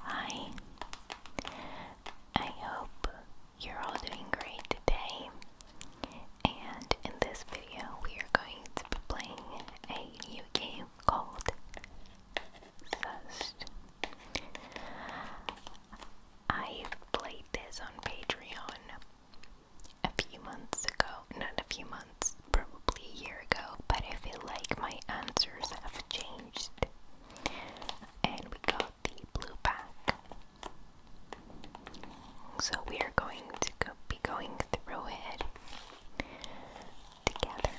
Hi, I hope you're all doing great today. And in this video, we are going to be playing a new game called Zest. I've played this on Patreon a few months ago, not a few months, probably a year ago, but I feel like my answers have changed. And we got the blue pack. So we are going to be going through it together.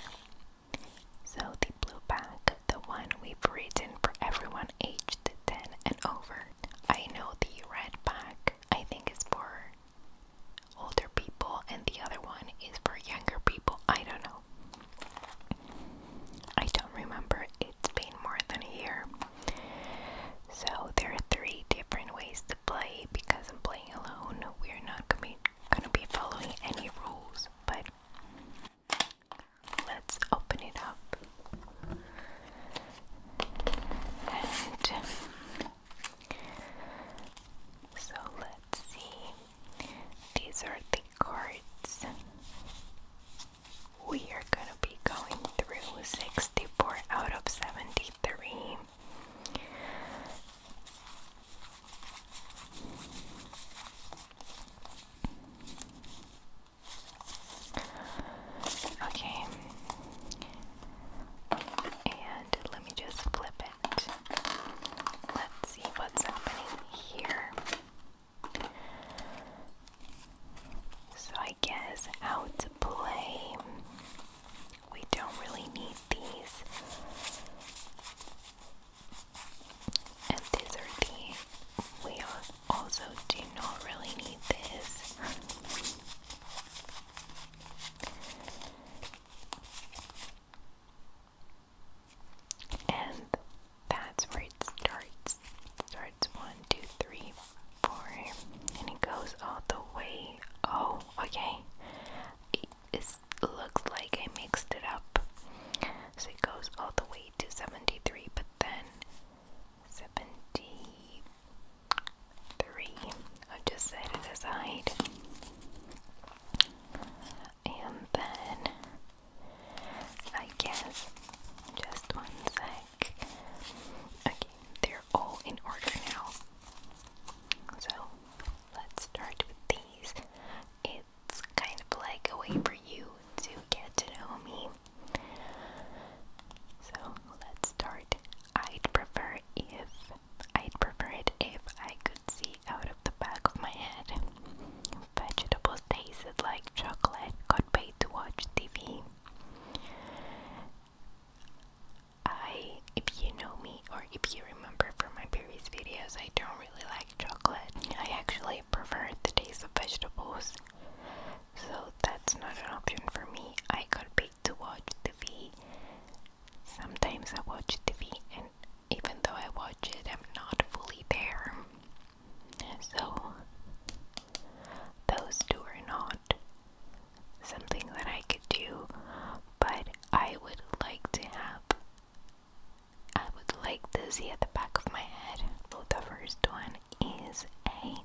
So the blue pack, the one we've written for everyone aged 10 and over. I know the red pack I think is for older people and the other one is for younger people. I don't know. I don't remember, it's been more than a year. So, there are three different ways to play because I'm playing alone. We're not gonna be, gonna be following any rules, but let's open it up. And so, let's see. These are the cards. We are going to be going through 64 out of 73. Okay. And let me just flip Let's see what's happening here. So, I guess how to play. We don't really need these. And these are the. We also do not really need this. And that's where it starts. starts one, two, three, four, and it goes all the way. Oh, okay. it looks like I mixed it up. So it goes all the way to 73, but then 73. I'll just set it aside and then I guess just one sec. Okay, they're all in order now. So let's start with these. It's kind of like a way for you to get to know me. So let's start. I'd prefer if I'd prefer if I could see out of the back of my head. Vegetables tasted like chocolate, got paid to watch TV. I, if you know me or if you remember from my previous videos, I don't really like chocolate. I actually prefer the taste of vegetables, so that's not an option for me. I got paid to watch TV. Sometimes I watch TV and even though I watch it, I'm not fully there. So, those two are not something that I could do, but I would like to have. I would like to see at the back of my head. So the first one is A.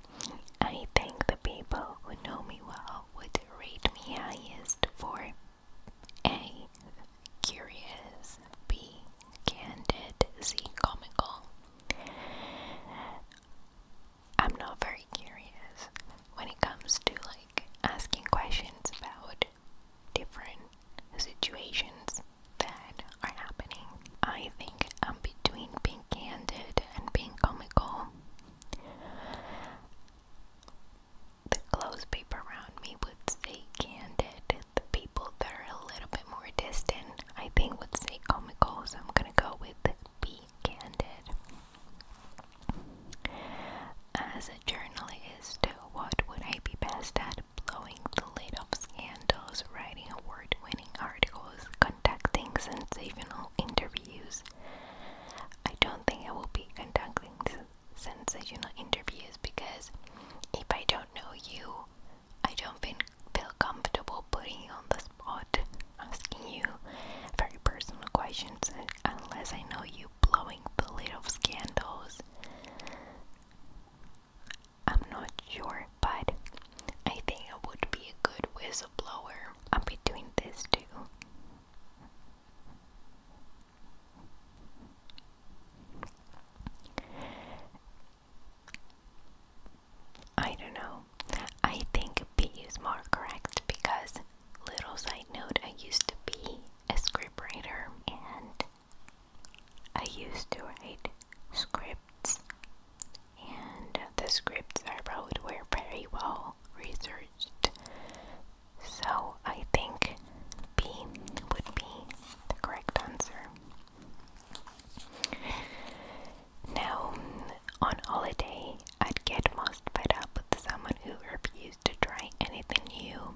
I think the people who know me well would rate me highest for a. Curious. B. Candid. C. Comical. I'm not very curious when it comes to like asking questions about different situations that are happening. I think I'm between being candid and being comical the close people around me would stay candid. The people that are a little bit more distant, I think, would say comical, so I'm gonna go with be candid. As a journalist, what would I be best at? Blowing the lid off scandals, writing award winning articles, conducting sensational interviews. I don't think I will be conducting sensational interviews because if I don't know you, I don't feel comfortable putting you on the spot, asking you very personal questions unless I know you blowing the lid of scandals. I'm not sure, but I think it would be a good whistleblower. I'll be doing this too. I don't know. I think B is more correct because, little side note, I used to be a scriptwriter and I used to write scripts, and the scripts I wrote were very well researched so I think B would be the correct answer. Now, on holiday, I'd get most fed up with someone who refused to try anything new.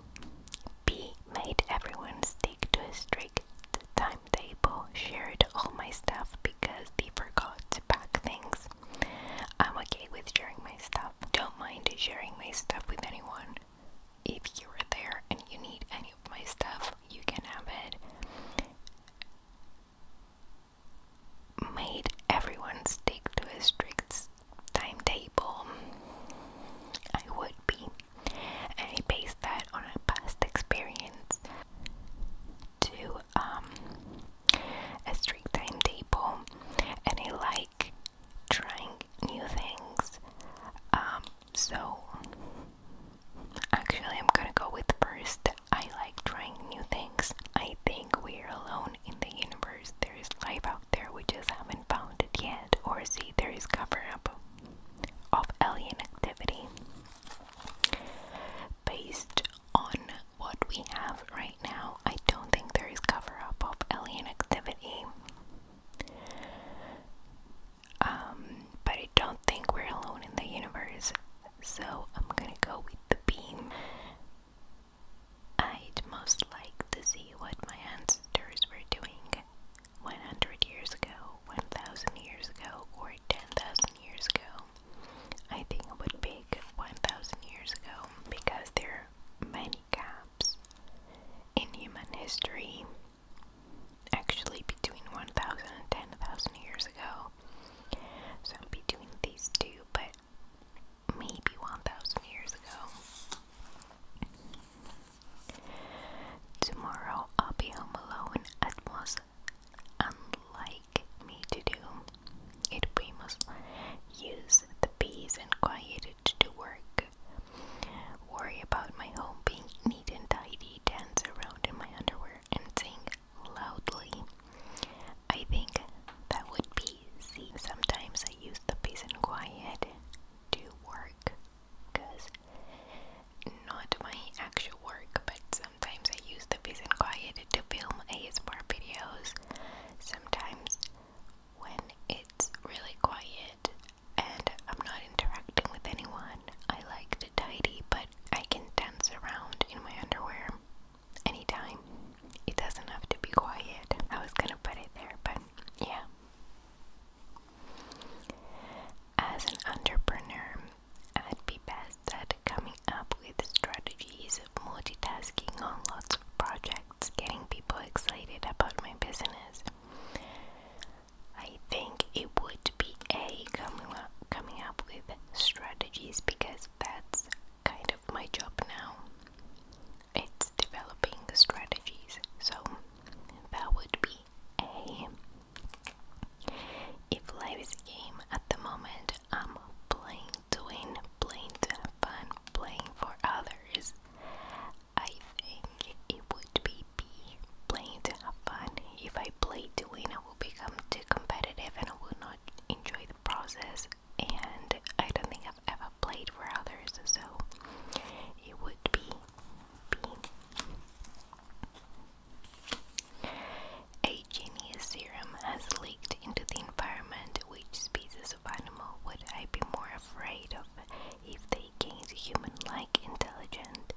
B made everyone stick to a strict timetable, shared all my stuff because they forgot to pack things. I'm okay with sharing my stuff. Don't mind sharing my stuff with anyone if you were there and you need any of my stuff, you can have it. Made everyone stick to a strict timetable. I would be. I based that on a past experience to um, a strict timetable. And I like trying new things. Um, so actually, I'm gonna go with first. I like trying new things. I think we're alone in the universe. There is life out there, we just haven't found it yet, or see there is cover up of alien activity based on what we have right now. I don't think there is cover up of alien activity. Um, but I don't think we're alone in the universe, so I'm gonna go with the beam. I'd most like to see what my ancestors were doing 100 years ago, 1000 years ago, or 10,000 years ago. I think it would pick 1000 years ago because there are many gaps in human history, actually between 1,000 years ago. So between these two, but maybe 1,000 years ago. Tomorrow I'll be home alone, as was unlike me to do. It we must use the peace and quiet to do work. Worry about my home being neat and tidy, dance around in my underwear, and sing loudly. I think that would be easy. Sometimes I use the peace and quiet to work because not my actual work, but sometimes I use the peace and quiet to film ASMR videos. Sometimes when it's really quiet, and I'm not interacting with anyone. I like to tidy, but I can dance around in my underwear anytime. It doesn't have to be quiet. I was gonna put it there, but yeah. As an entrepreneur, I'd be best at coming up with strategies of multitasking on lots of projects, getting people excited about my business, I think it would be a coming up, coming up with strategies because that's kind of my job now. It's developing strategies, so that would be a. If life is a game at the moment, I'm playing to win, playing to have fun, playing for others. I think it would be B, playing to have fun. If I play to win, I will become too competitive and I will not enjoy the process. And I don't think I've ever played for others, so it would be a genius serum has leaked into the environment. Which species of animal would I be more afraid of if they gain human-like intelligence,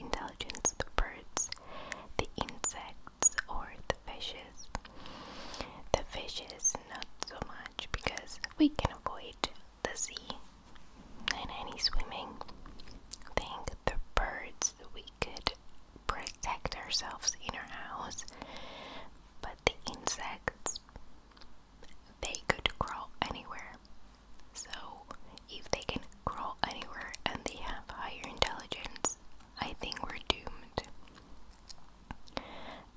intelligence the birds, the insects, or the fishes. The fishes not so much because we can avoid the sea and any swimming. Think the birds we could protect ourselves in our house, but the insects they could crawl anywhere. So, if they can crawl anywhere and they have higher intelligence, I think we're doomed.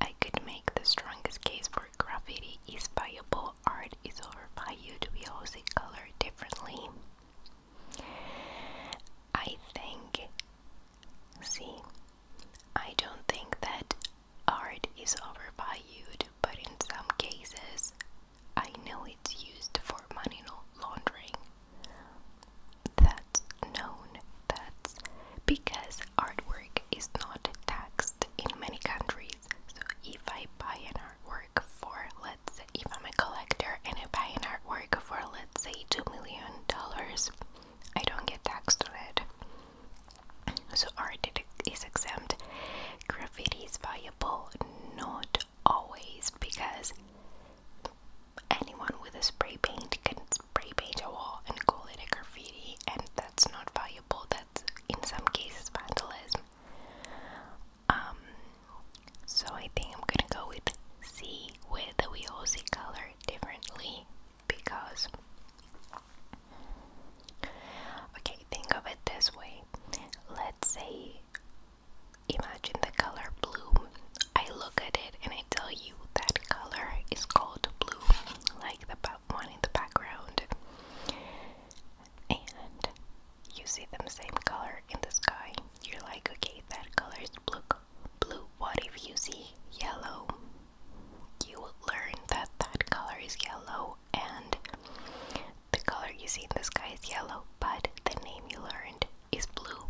I could make the strongest case for graffiti is viable art is overvalued because it color differently. I think, see, I don't think that art is overvalued, but in some cases, I know it's used for money laundering. That's known. That's because artwork is not taxed in many countries. So if I buy an artwork for, let's say, if I'm a collector and I buy an artwork for, let's say, $2 million, I don't get taxed on it. So art is exempt. Graffiti is valuable, not always, because anyone with a spray paint can spray paint a wall and call it a graffiti, and that's not valuable. That's in some cases vandalism. Um, so I think I'm gonna go with C, with we all see color differently because okay, think of it this way. Let's say imagine the color blue. I look at it and I tell you that color is called blue, like the one in the background. And you see them same color in the sky. You're like, okay, that color is blue. Blue. What if you see yellow? you learn that that color is yellow and the color you see in the sky is yellow, but the name you learned is blue.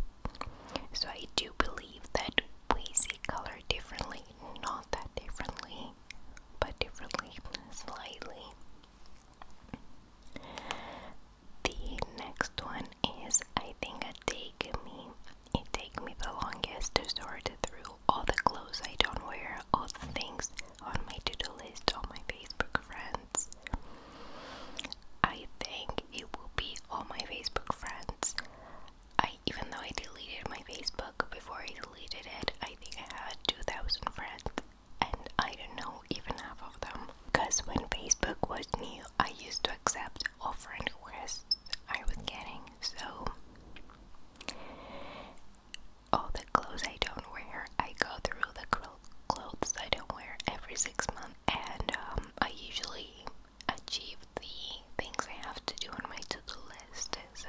So I do believe that we see color differently, not that differently, but differently, slightly. The next one is I think a take me. It take me the longest to sort through all the clothes I don't wear, all the things on my to do list, all my Facebook friends. I think it will be all my Facebook friends. I even though I deleted my Facebook before I deleted it, I think I had 2,000 friends, and I don't know even half of them. Because when Facebook was new, I used to accept all friend requests I was getting, so all the clothes I don't wear. I go through the clothes I don't wear every six months, and um, I usually achieve the things I have to do on my to do list. So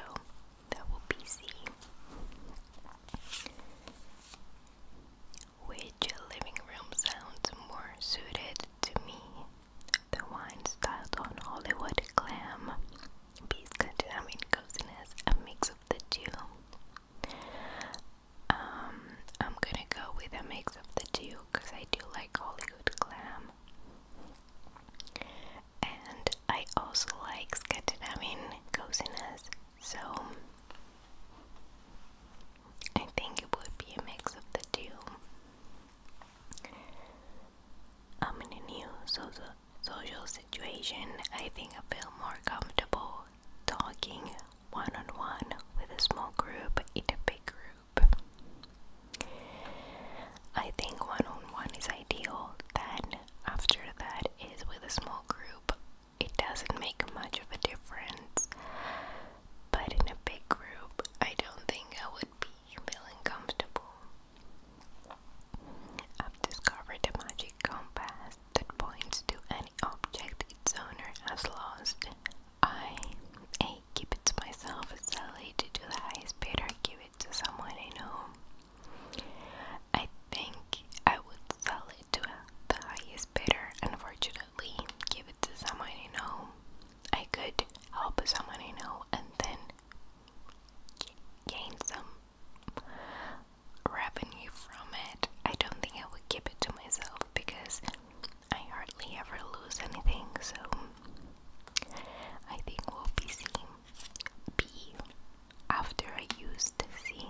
that will be C. Which living room sounds more suited to me? The wine styled on Hollywood glam I mean coziness, a mix of the two. Um, I'm gonna go with a mix of the two because I do like Hollywood glam. And I also like scandinavian coziness, so I think it would be a mix of the two. I'm in a new social social situation, I think I feel more comfortable talking one on one with a small group in a big group. I think one on one is ideal, then, after that, is with a small group. It doesn't make much of a difference, but in a big group, I don't think I would be you're feeling comfortable. I've discovered a magic compass that points to any object its owner has lost. I A. Keep it to myself, sell it to the highest bidder, give it to someone I know. I think I would sell it to the highest bidder, unfortunately, give it to someone I know. I could help someone I know and then gain some revenue from it, I don't think I will keep it to myself because I hardly ever lose anything. So I think we'll be seeing B after I use the C.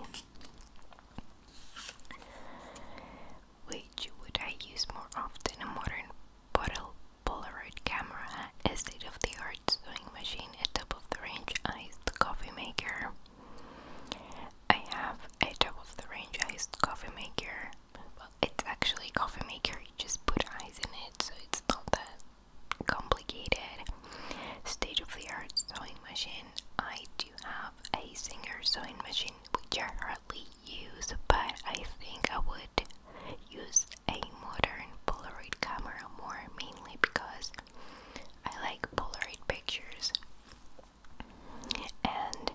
Which would I use more often? A modern bottle Polaroid camera, a state-of-the-art sewing machine, a top-of-the-range iced coffee maker. I have a top-of-the-range iced coffee maker. Well, it's actually coffee maker, you just put ice in it, so it's not that complicated. State-of-the-art sewing machine. I do have a Singer sewing machine, which I hardly use, but I think I would use a modern Polaroid camera more mainly because I like Polaroid pictures and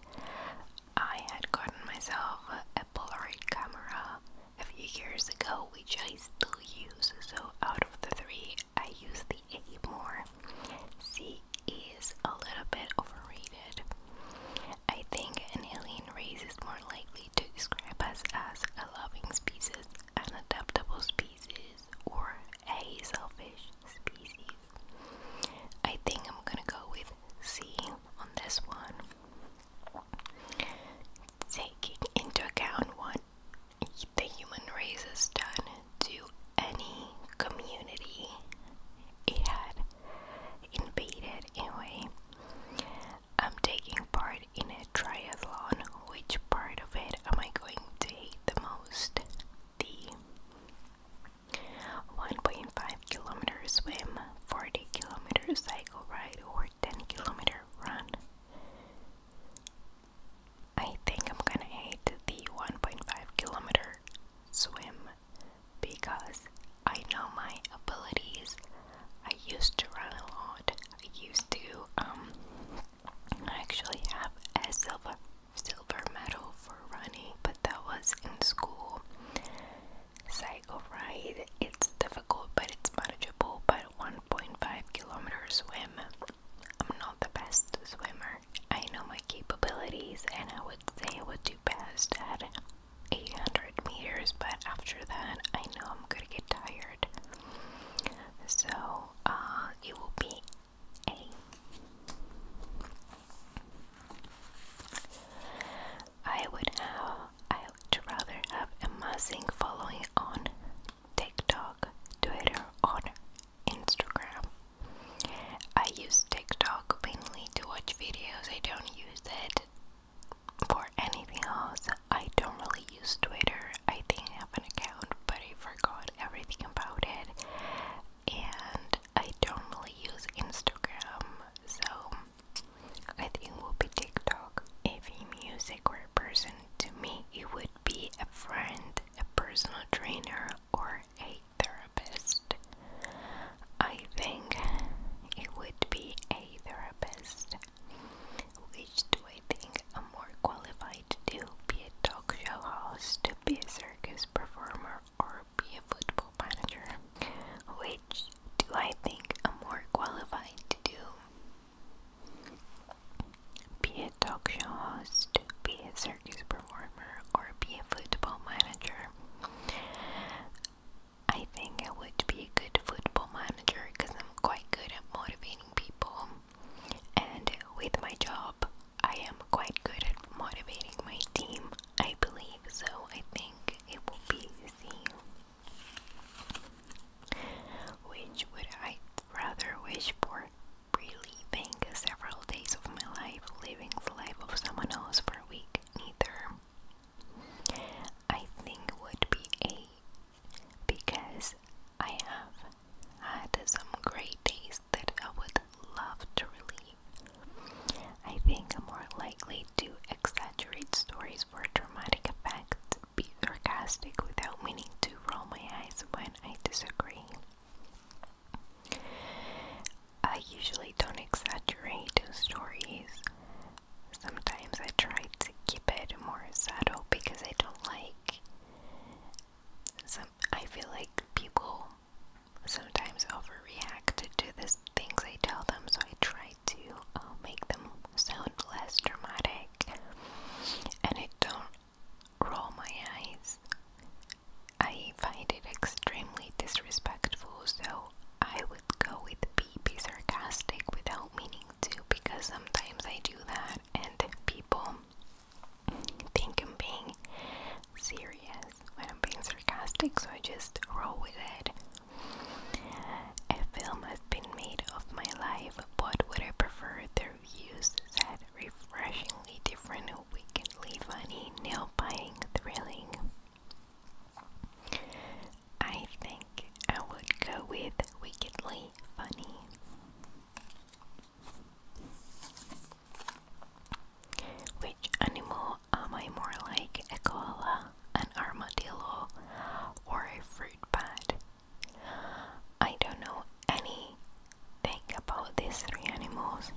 I had gotten myself a Polaroid camera a few years ago which I still use so out of the three I use the A more. C is a little bit overrated. I think an alien race is more likely to describe us as a loving species, an adaptable species, or a selfish species. I think I'm gonna go with C on this one. Taking into account what the human race has done to any community it had invaded, anyway. I'm taking part in a triathlon, which part of it am I going to hate the most? The 1.5 kilometer swim, 40 kilometer cycle ride, or 10 kilometer run. I think I'm gonna hate the 1.5 kilometer swim because I know my abilities I used to run a lot. I used to um actually have a silver silver medal for running, but that was in school. Cycle ride, it's difficult but it's manageable, but 1.5 kilometer swim. I'm not the best swimmer. I know my capabilities and I would say I would do best at 800 meters, but after that I know I'm gonna get tired. So uh, it will be A. I would have, I would rather have amazing following on TikTok, Twitter, or Instagram. I use TikTok mainly to watch videos. I don't use it for anything else. I don't really use Twitter. I think I have an account, but I forgot everything about it. And I don't really use Instagram, so I think it would be TikTok. If music were a person, to me, it would be a friend, a personal trainer, or a therapist. I think it would be a therapist. Which do I think I'm more qualified to do? Be a talk show host, be a circus performer, or be a football manager? Which do I think am more qualified to do? Be a talk show host, be a circus performer, or be a football manager? I think it would be a good football manager manager because I'm quite good at motivating people, and with my job, I am quite good at motivating my team, I believe. So, I think it will be easy. Which would I rather wish for? Reliving several days of my life, living the life of someone else for a week, neither. I think would be a because I have had some great days that I would love to relive. I think I'm more likely to exaggerate stories for dramatic effect, be sarcastic without meaning to roll my eyes when I disagree. I usually don't exaggerate stories Sometimes I try to keep it more subtle because I don't like. Some I feel like people sometimes overreact to the things I tell them, so I try to uh, make them sound less dramatic, and I don't roll my eyes. I find it extremely disrespectful, so I would go with be, be sarcastic without meaning too because sometimes I do that and people think I'm being serious when I'm being sarcastic, so I just roll with it. A film has been made of my life, but would I prefer Their views said refreshingly different, wickedly funny, nail biting, thrilling? I think I would go with wickedly funny. Which animal am I more like? A koala, an armadillo, or a fruit bat? I don't know anything about these three animals.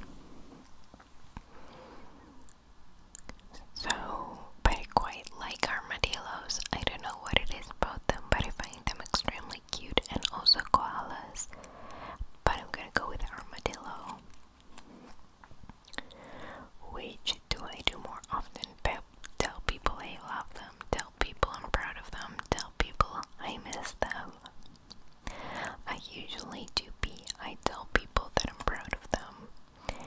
So I quite like armadillos. I don't know what it is about them, but I find them extremely cute and also koalas. But I'm gonna go with armadillo. Which do I do more often? Pep, tell people I love them, tell people I'm proud of them, tell people I miss them. I usually do be. I tell people that I'm proud of them.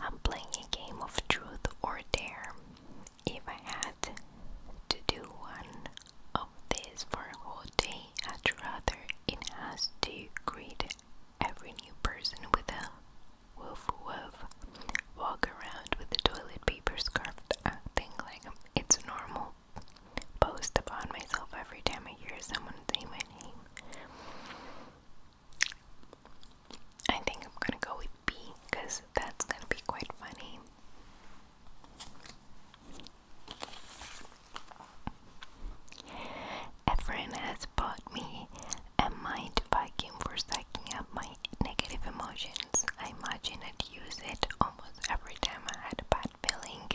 I'm playing a game of truth or dare. If I had to do one of these for a whole day, I'd rather it has to greet every new person with a woof woof, walk around with a toilet paper scarfed thing like it's normal post upon myself every time I hear someone say my name. I think I'm gonna go with B because that's gonna be quite funny. Efren has bought me a mind vacuum for sucking up my negative emotions. I imagine I'd it almost every time I had a bad feeling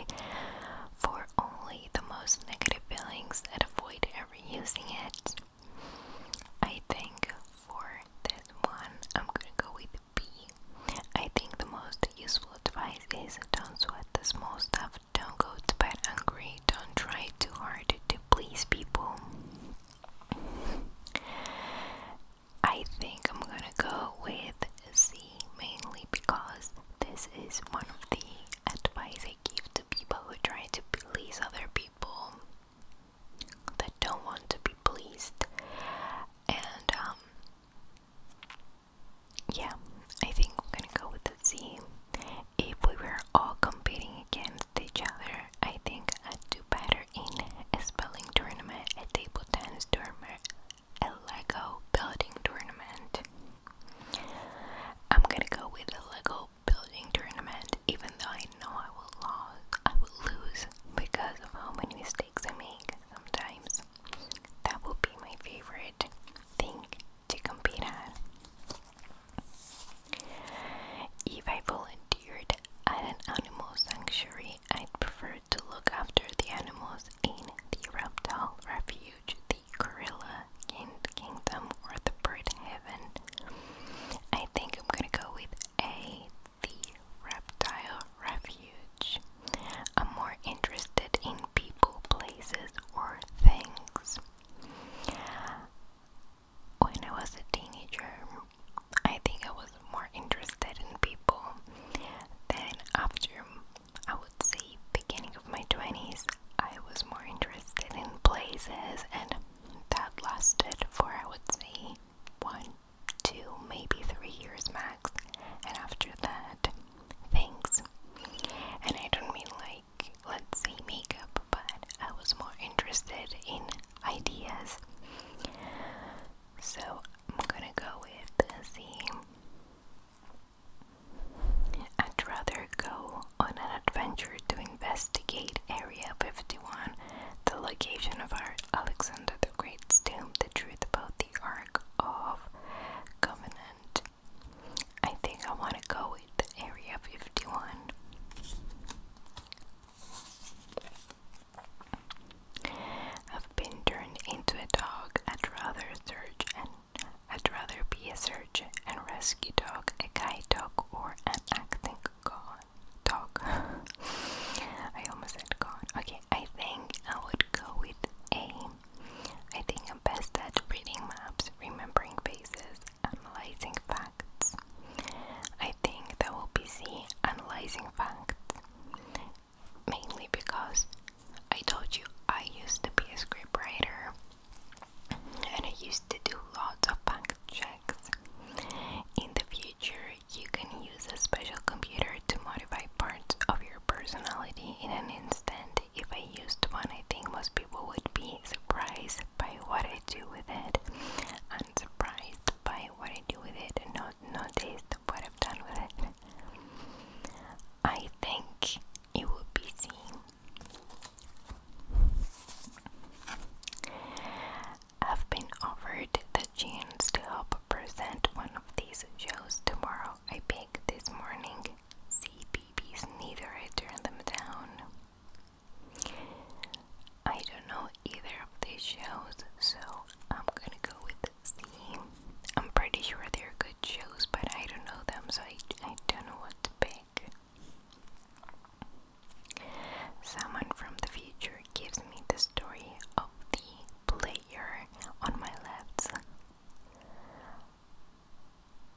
for only the most negative feelings i avoid ever using it. I think for this one, I'm gonna go with B. I think the most useful advice is don't sweat the small stuff, don't go to bed angry, don't try too hard to please people. I think I'm gonna go with C mainly because this is one of the advice I give to people who try to please other people that don't want to be pleased. And, um, yeah, I think I'm gonna go with the Z. If we were all competing against each other, I think I'd do better in a spelling tournament, a table tennis tournament, a Lego building tournament. I'm gonna go with the Lego building tournament, even though I know I will lose, I will lose because of how many mistakes I make sometimes. That will be my favorite thing to compete at. If I volunteered at an animal sanctuary, I'd prefer to look after the animals in the reptile refuge, the gorilla kingdom, or the bird I think I'm gonna go with A, the reptile refuge. I'm more interested in people, places, or things. When I was a teenager, I think I was more interested in people. Then, after I would say beginning of my 20s, I was more interested in places and that lasted for, I would say, one, two, maybe three years max. And after that, things. And I don't mean like, let's say, makeup, but I was more interested in ideas. So I'm gonna go with the. theme. I'd rather go on an adventure to investigate Area 51, the location of our Alexander the Great's tomb, the truth about the Ark of Covenant. I think I want to go with Area 51. I've been turned into a dog. I'd rather search and I'd rather be a search and rescue dog, a guide dog, or an acting dog god, I almost said god. Okay, I think I would go with A. I think I'm best at reading maps, remembering faces, analyzing facts. I think that will be C, analyzing facts. Mainly because I told you I used to be a scriptwriter and I used to do lots of fact in the future, you can use a special computer to modify parts of your personality in an instant. If I used one, I think most people would be surprised by what I do with it. I'm surprised by what I do with it and not noticed what I've done with it. I think it would be seen i have been offered the chance to help present one of these shows tomorrow. I picked this morning. CBB's neither I turn them down. I don't know either of these shows, so I'm gonna go with C. I'm pretty sure they're good shows, but I don't know them, so I, I don't know what to pick. Someone from the future gives me the story of the player on my left.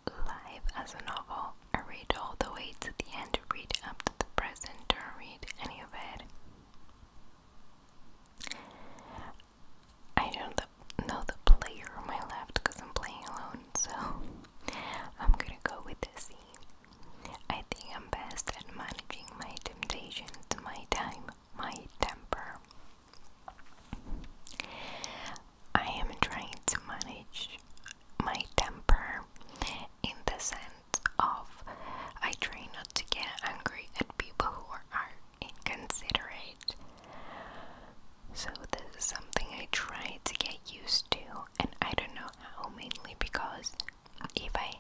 Live as a novel, I read all the way to the end, read up to the present, don't read any of it. I don't know the player on my left because I'm playing alone, so I'm gonna go with the scene. I think I'm best at managing my temptations, my time, my temper. I am trying to manage my temper in the sense of I try not to get angry at people who are inconsiderate. So, this is something I try to get used to, and I don't know how mainly because if I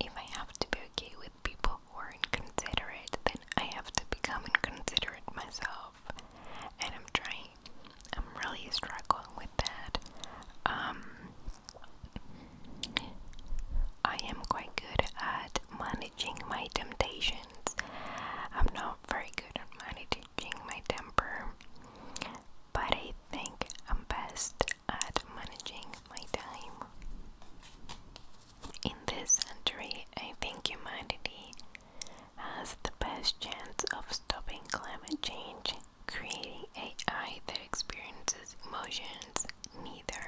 if I have to be okay with people who are inconsiderate, then I have to become inconsiderate myself. And I'm trying. I'm really struggling with that. Um, I am quite good at managing my temptations. I'm not very good at managing my temper but I think I'm best at managing my time. In this century, I think humanity has the best chance of stopping climate change, creating AI that experiences emotions neither.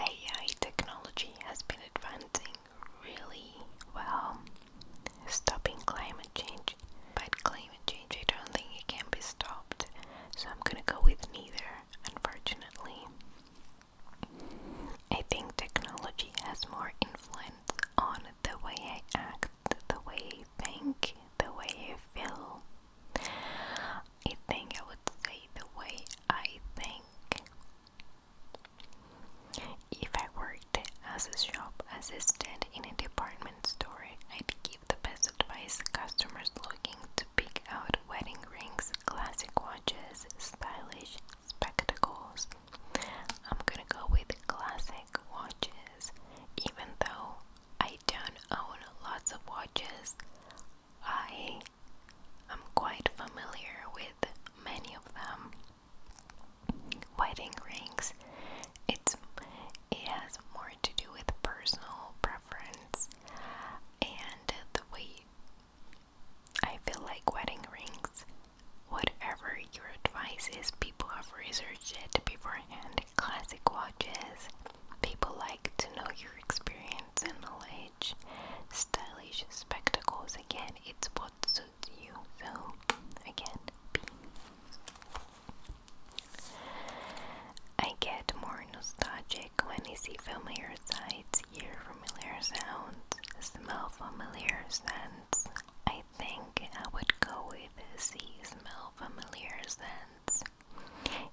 AI technology has been advancing really well stopping climate change. But climate change, I don't think it can be stopped. So I'm gonna go with neither, unfortunately. I think technology has more influence on the way I act, the way I think, the way I feel. I think I would say the way I think if I worked as a shop assistant in a department store, I'd give the best advice customers looking to pick out wedding rings, classic watches, stylish spectacles. I'm gonna go with classic watches, even though I don't own lots of watches. I am quite familiar with many of them wedding rings. It's it has more to do with personal preference and the way I feel like wedding rings. Whatever your advice is, people have researched it beforehand. Classic watches. People like to know your experience and age. Stylish spectacles again. It's what suits with you. So, again, B. I get more nostalgic when I see familiar sights, hear familiar sounds, smell familiar scents. I think I would go with see, smell familiar scents.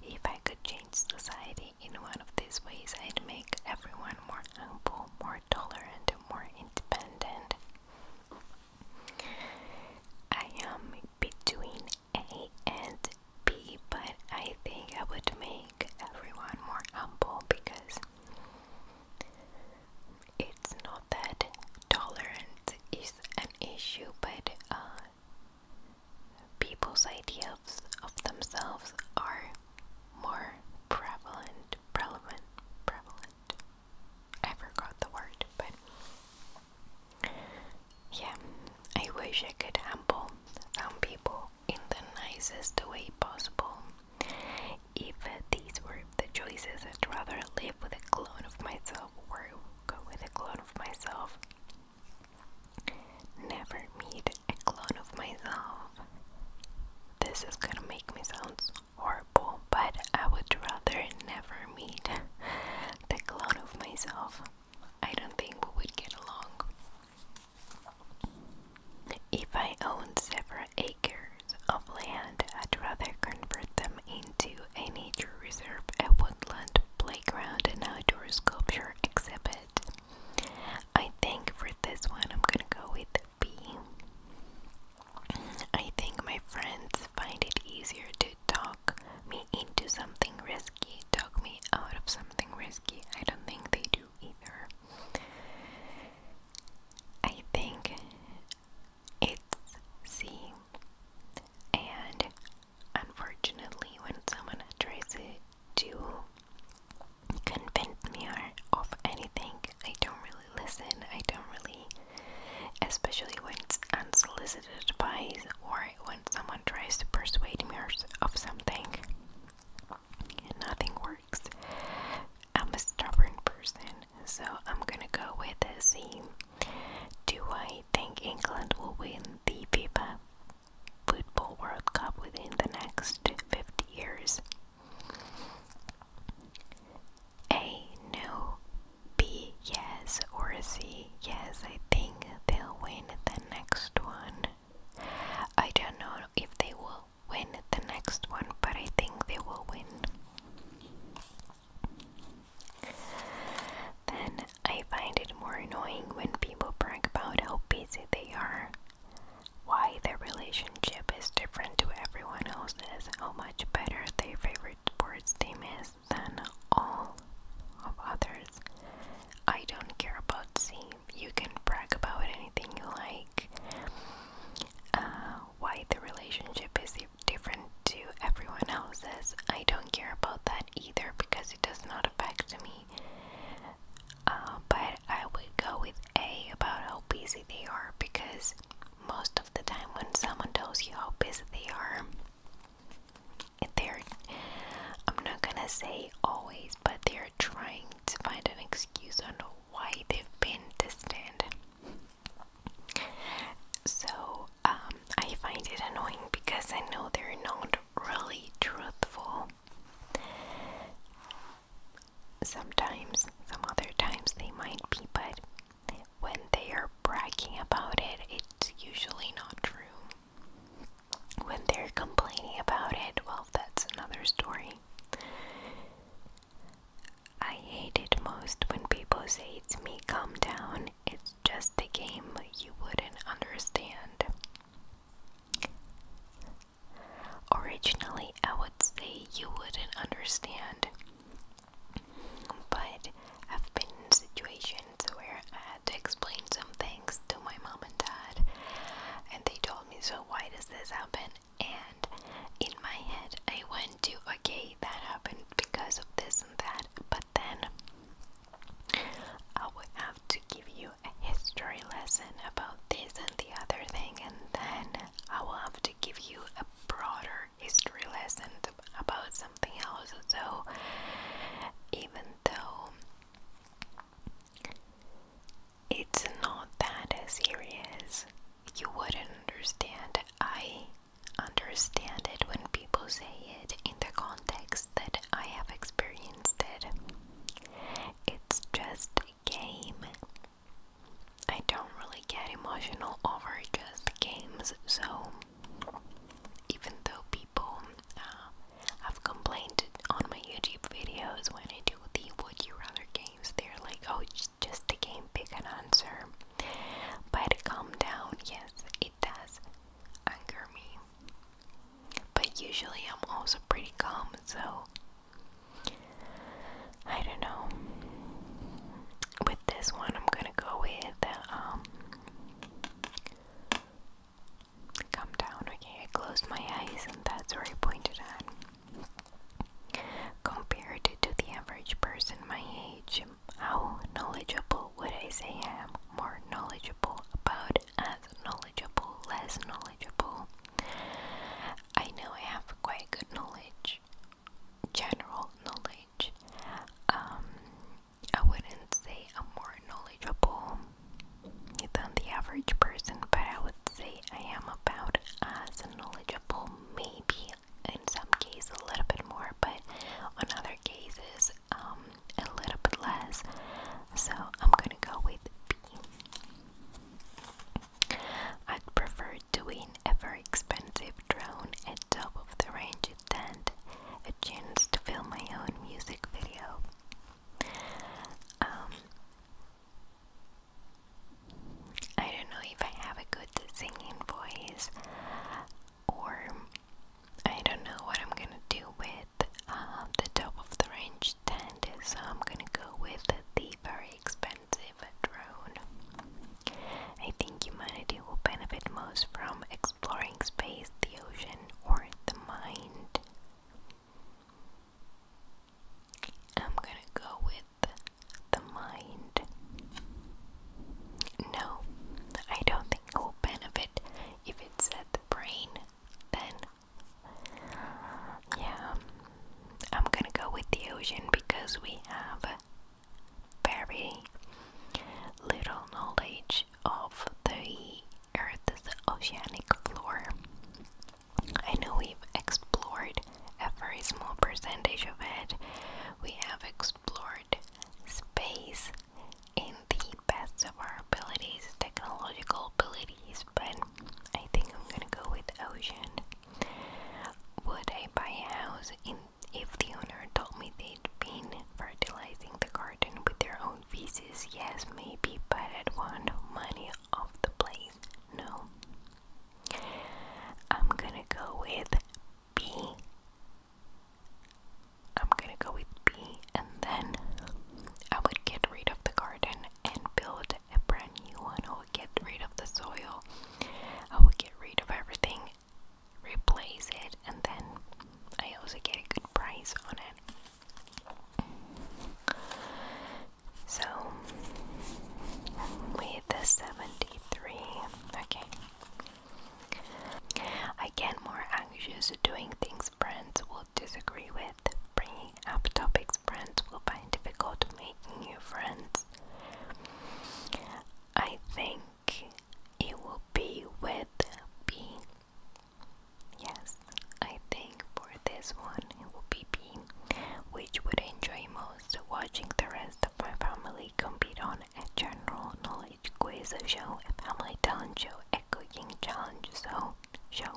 If I could change society in one of these ways, I'd make everyone more humble, more tolerant, more independent. I am between A and B, but I think I would make everyone more humble because it's not that tolerance is an issue, but uh, people's ideas of themselves are more prevalent, prevalent, prevalent. I forgot the word, but yeah, I wish I could humble some people in the nicest way possible. If these were the choices, I'd rather live with a clone of myself or go with a clone of myself. Never meet a clone of myself. This is gonna make me sound horrible, but I would rather never meet the clown of myself. I don't think we would get along. If I owned several acres of land, I'd rather convert them into a nature reserve, a woodland playground, an outdoor sculpture exhibit. I think for this one I'm gonna go with be. I think my friends find it easier to talk me into something risky, talk me out of something risky. I don't think they do either. I think it's C. And unfortunately, when someone tries to convince me of anything, I don't really listen, I don't really especially when it's unsolicited advice or when someone tries to persuade me of something nothing works. I'm a stubborn person, so I'm gonna go with the C. Do I think England will win the FIFA Football World Cup within the next 50 years? a no, B yes, or a C yes. I think they'll win the next one. I don't know if they will win the next one, but I think they will win. Then I find it more annoying when people brag about how busy they are, why their relationship relationship is different to everyone else's, how much better their favorite sports team is than all of others. I don't care about team. You can brag about anything you like. Uh, why the relationship is different to everyone else's, I don't care about that either because it does not affect me. Uh, but I would go with A about how busy they are because most of the time when someone tells you how busy they are, they're, I'm not gonna say always, but they're trying to find an excuse on why they've been distant. So um, I find it annoying because I know they're not really truthful sometimes, some other times they might be, but when they are bragging about it, it's usually not true. When they're complaining about it, well, that's another story. I hate it most when people say it's me, calm down, it's just a game, you wouldn't understand. Originally, I would say you wouldn't understand but I've been in situations where I had to explain some things to my mom and dad, and they told me, So, why does this happen? And in my head, I went to, Okay, that happened because of this and that, but then I would have to give you a history lesson about this and the other thing, and then I will have to give you a broader history lesson about something else. So, even though it's not that serious, you wouldn't understand. I understand it when people say it in the context that I have experienced it. It's just a game I don't really get emotional over just games, so even though people uh, have complained on my YouTube videos when I do the Would You Rather games, they're like, oh, it's just a game, pick an answer. But calm down, yes, it does anger me. But usually I'm also pretty calm, so I don't know. With this one, I'm gonna go with um. Come down. Okay, I closed my eyes, and that's where I pointed at. Compared to the average person my age, how knowledgeable would I say I am? More knowledgeable about as knowledgeable, less knowledgeable. I know I have quite good knowledge general knowledge. Um, I wouldn't say I'm more knowledgeable than the average person, but I would say I am about as knowledgeable, maybe in some cases a little bit more, but in other cases um, a little bit less. So I'm gonna go with B. I'd prefer doing a very expensive drone and top of the range tent a chance to film my own music video. Um, I don't know if I have a good singing voice or I don't know what I'm gonna do with uh, the top of the range tent, so I'm gonna go with the very expensive drone. I think humanity will benefit most from exploring space, the ocean, or the mind. I'm gonna go with the mind. No, I don't think it will benefit if it's at the brain. Then, yeah, I'm gonna go with the ocean because we have very little knowledge of the Earth's oceanic floor. I know we've explored a very small percentage of it. We have explored space in the best of our abilities, technological abilities, but I think I'm gonna go with ocean. Would I buy a house if the owner told me they'd been fertilizing the garden with their own feces? Yes, maybe, but I'd want money off the place. No. I'm gonna go with B. I'm gonna go with B, and then I would get rid of the garden and build a brand new one or get rid of the soil I will get rid of everything, replace it, and then I also get a good price on it. So, with the 73, okay. I get more anxious doing things friends will disagree with, bringing up topics friends will find difficult, making new friends. I think it will be with B. Yes, I think for this one it will be B, which would enjoy most watching the rest of my family compete on a general knowledge quiz show, a family talent show, a cooking challenge so show.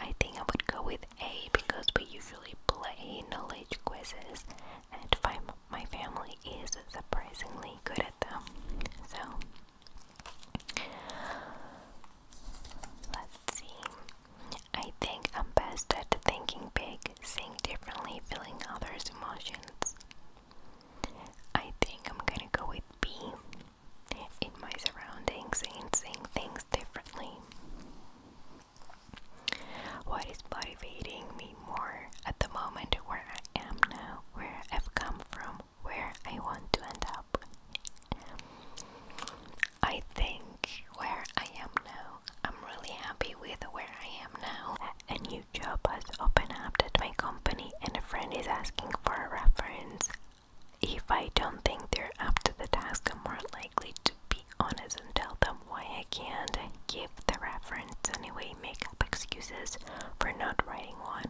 I think I would go with A because we usually play knowledge quizzes and my, my family is surprisingly good at them. So, let's see. I think I'm best at thinking big, seeing differently, feeling others' emotions. I think I'm gonna go with B in my surroundings and seeing things differently. What is motivating me more at the moment where I am now, where I've come from, where I want to end up? I think where I am now, I'm really happy with where I am now. A new job has opened up at my company, and a friend is asking for a reference. If I don't think they're up to the task, I'm more likely to be honest and tell them why I can't give the reference anyway, make up excuses for not writing one.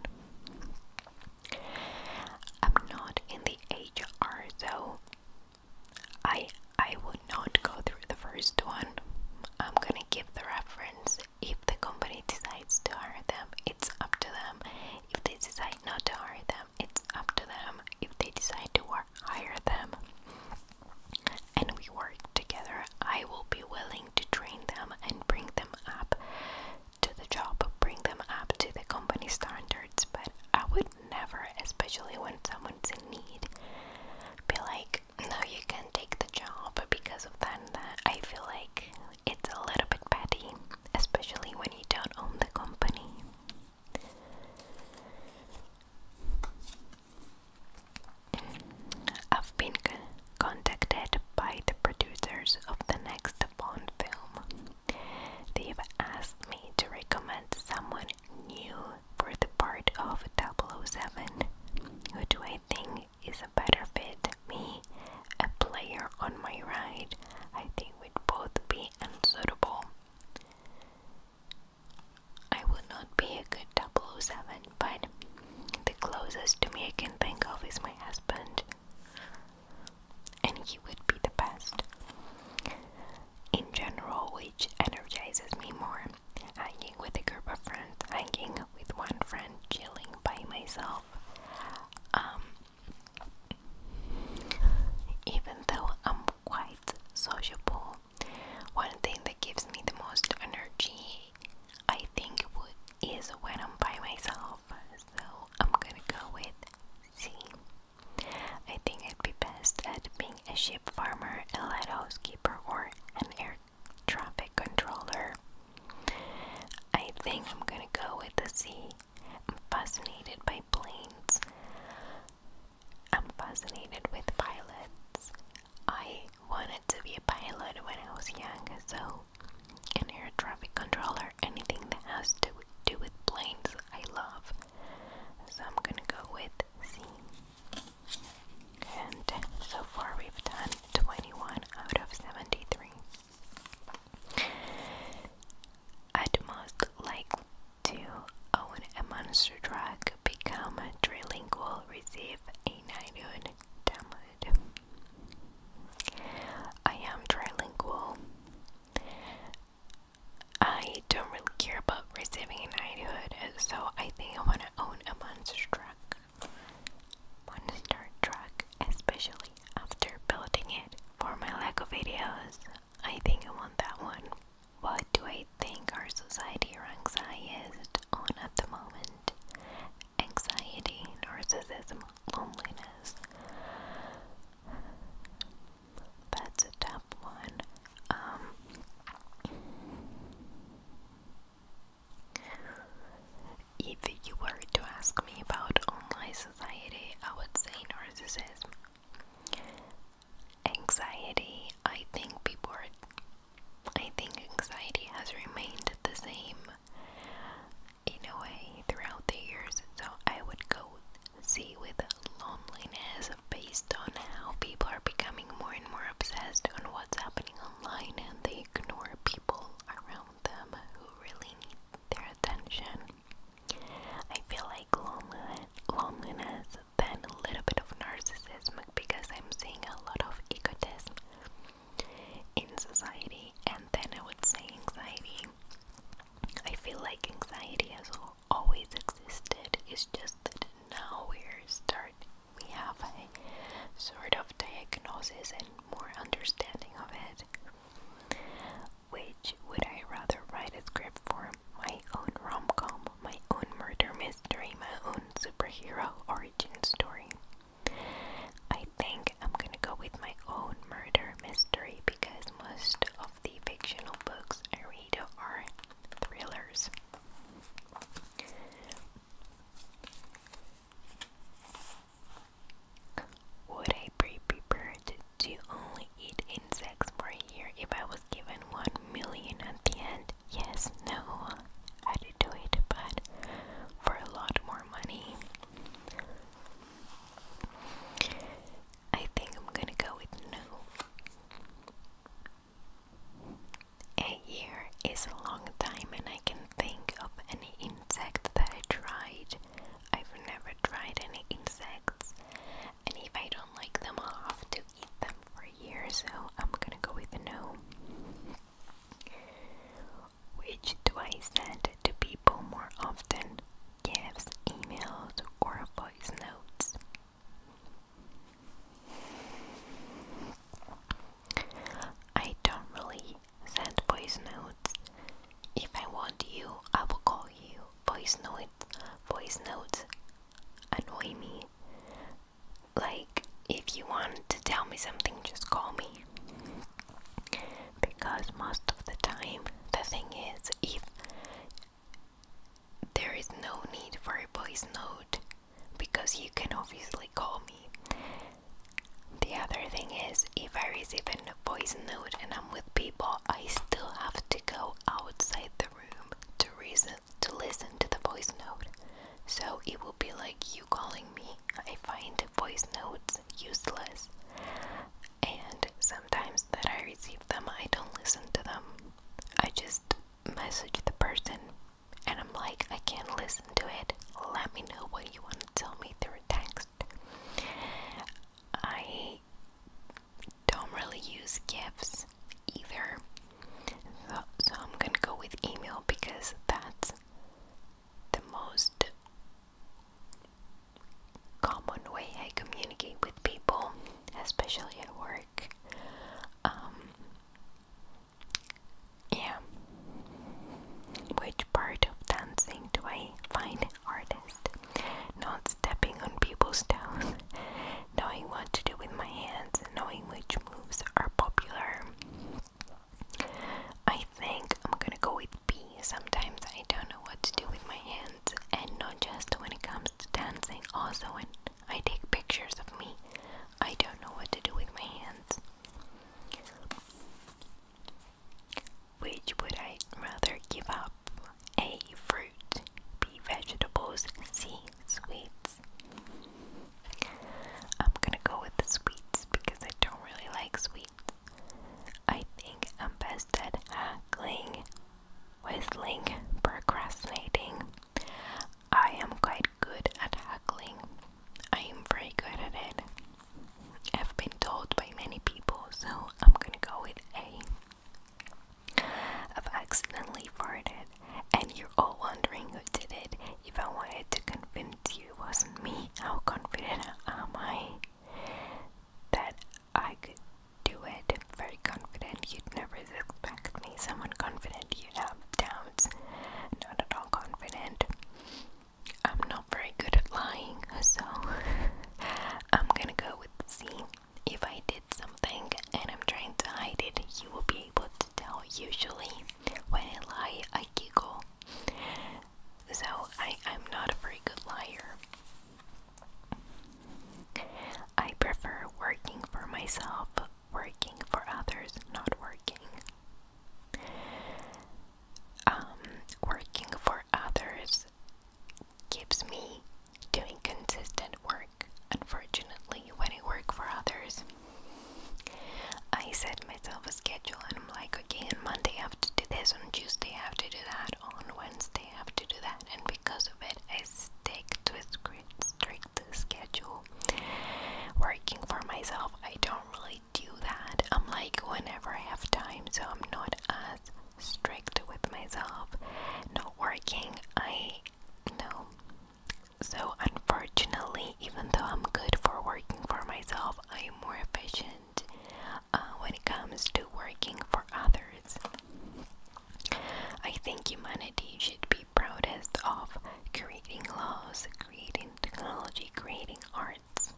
I'm not in the HR so I I would not go through the first one. I'm gonna give the reference if the company decides to hire them, it's up to them. If they decide not to hire them, it's up to them. If they decide to hire them, and we work together, I will be willing to train them and bring them up to the job, bring them up to the company standards. But I would never, especially when someone's in need, be like, no, you can take the job because of that that. I feel like it's a little bit petty, especially when you don't own the company. I've been contacted by the producers of the next Bond film. They've asked me to recommend someone new for the part of 007. Who do I think is a better fit? Me, a player on my right? I think we'd both be unsuitable. I would not be a good 007, but the closest to me I can think of is my husband, and he would be the best. In general, which energizes me more hanging with a group of friends, hanging with one friend, chilling by myself. Um, even though I'm quite sociable, one thing that gives me the most energy, I think, would, is when I'm by myself. So I'm gonna go with C. I think I'd be best at being a sheep farmer, a lighthouse keeper, or an air traffic controller. I think I'm gonna go with the C. I'm fascinated by planes. I'm fascinated with pilots. I wanted to be a pilot when I was young, so an air traffic controller, anything that has to do with planes, I love. So I'm gonna go with C. And so far, we've done 21 out of 73. I'd most like to own a monster truck, become a trilingual, receive a knighthood. I am trilingual. I don't really care about receiving a knighthood, so I think I want to own a monster truck. Monster truck, especially after building it for my Lego videos. I think I want that one. What do I think our society ranks highest on at the moment? Anxiety, narcissism, loneliness. That's a tough one. Um, if you were to ask me about online society, I would say narcissism anxiety, I think people are. I think anxiety has remained the same in throughout the years, so I would go see with loneliness based on how people are becoming more and more obsessed on what's happening online and they ignore people around them who really need their attention. I feel like loneliness then a little bit of narcissism because I'm seeing a lot of egotism in society, and then I would say anxiety. I feel like anxiety has always existed, it's just that now we're start we have a sort of diagnosis and more understanding of it. Which would I rather write a script for my own rom com my own murder mystery, my own superhero origin story. I think I'm gonna go with my own murder mystery because most of the fictional books I read are thrillers. Would I be prepared to only eat insects for a year if I was given one million at the end? Yes, no, i to do it, but for a lot more money. I think I'm gonna go with no. A year is a long time, and I can think of any insect that I tried. I've never tried any insects, and if I don't like them, i have to eat them for a year, so I'm gonna go with no. Which do I send to people more often? Gifts, emails, or voice notes? I don't really send voice notes. If I want you, I will call you. Voice note. voice note annoy me. Like, if you want to tell me something, just call me. Because most of the time, the thing is, if there is no need for a voice note, because you can obviously call me. The other thing is, if I receive a voice note and I'm with people, I still have to go outside the room to reason to listen to the voice note. So it will be like you calling me. I find voice notes useless. And sometimes that I receive them, I don't listen to them. I just message the person and I'm like, I can't listen to it. Let me know what you want to tell me through text. I don't really use gifts either. So, I'm gonna go with email because that's the most common way I communicate with people, especially at work. Um, yeah. Which part of dancing do I find hardest? Not stepping on people's toes knowing what to do with my hands, knowing which moves are popular. I think I'm gonna go with B. Sometimes I don't know what to do with my hands, and not just when it comes to dancing, also when I take pictures of me, I don't know what to do with my hands. Which would I rather give up? A. Fruit, B. Vegetables, C. Sweets, I'm gonna go with the sweets because I don't really like sweets. I think I'm best at haggling, whistling, procrastinating. I am quite good at haggling. I am very good at it. I've been told by many people, so I'm gonna go with A. I've accidentally farted, and you're all wondering who did it. If I wanted to convince you it wasn't me, how confident am I that I could do it? I'm very confident. You'd never suspect me. Someone confident, you'd have doubts. Not at all confident. I'm not very good at lying, so I'm gonna go with C if I did something and I'm trying to hide it, you will be able to tell. Usually, when I lie, I giggle. So, I, I'm not a very good liar. I prefer working for myself, working for others, not working. Um, working for others keeps me doing consistent work work, unfortunately, when I work for others. I set myself a schedule and I'm like, okay, on Monday I have to do this, on Tuesday I have to do that, on Wednesday I have to do that, and because of it, I stick to a strict schedule. Working for myself, I don't really do that. I'm like, whenever I have time, so I'm not as strict with myself. Not working, I no. So, unfortunately, even though I'm good for working for myself, I am more efficient uh, when it comes to working for others. I think humanity should be proudest of creating laws, creating technology, creating arts.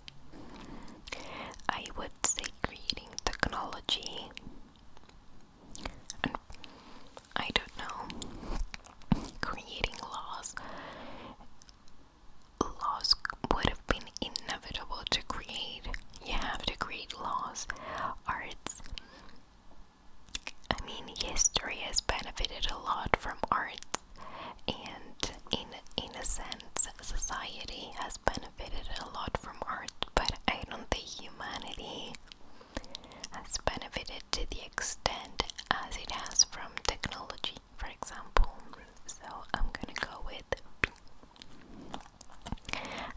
I would say creating technology I don't know, creating laws. Laws would have been inevitable to create. You have to create laws, arts. I mean, history has benefited a lot from arts, and in in a sense, society has benefited a lot from art. But I don't think humanity has benefited to the extent as it has from technology, for example. So I'm gonna go with B.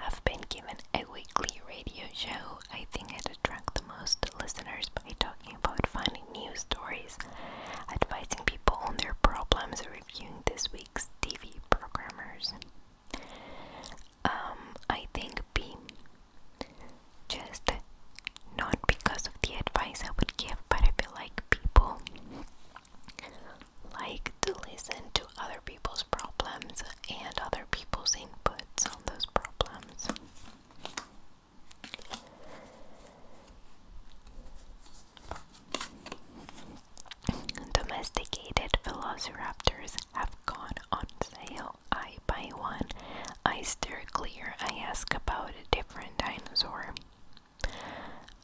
I've been given a weekly radio show. I think it attracts the most listeners by talking about finding news stories, advising people on their problems, reviewing this week's TV programmers um, I think B. Just not because of the advice I would give, but I feel like people like to listen to other people's problems and other people's inputs on those problems. Domesticated velociraptors have gone on sale. I buy one. I stare clear. I ask about a different dinosaur.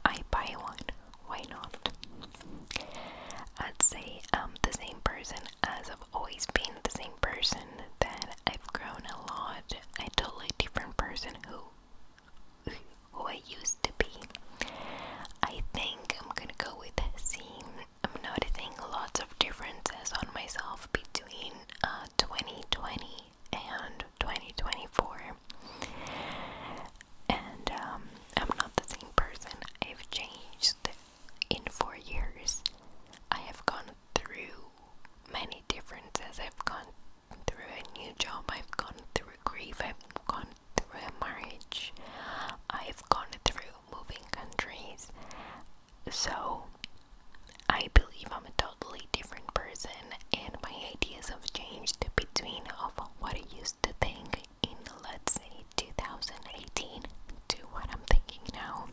I buy one. Why not? I'd say I'm the same person as I've always been the same person. That I've grown a lot. A totally different person who who I used to be. I think I'm gonna go with C I'm noticing lots of differences on myself between 2020 uh, and 2024. And um, I'm not the same person. I've changed in four years. I have gone through many differences. I've gone through a new job. I've gone through grief. I've gone through a marriage. I've gone through moving countries. So, I believe I'm a totally different person, and my ideas have changed between of what I used to think in let's say 2018 to what I'm thinking now.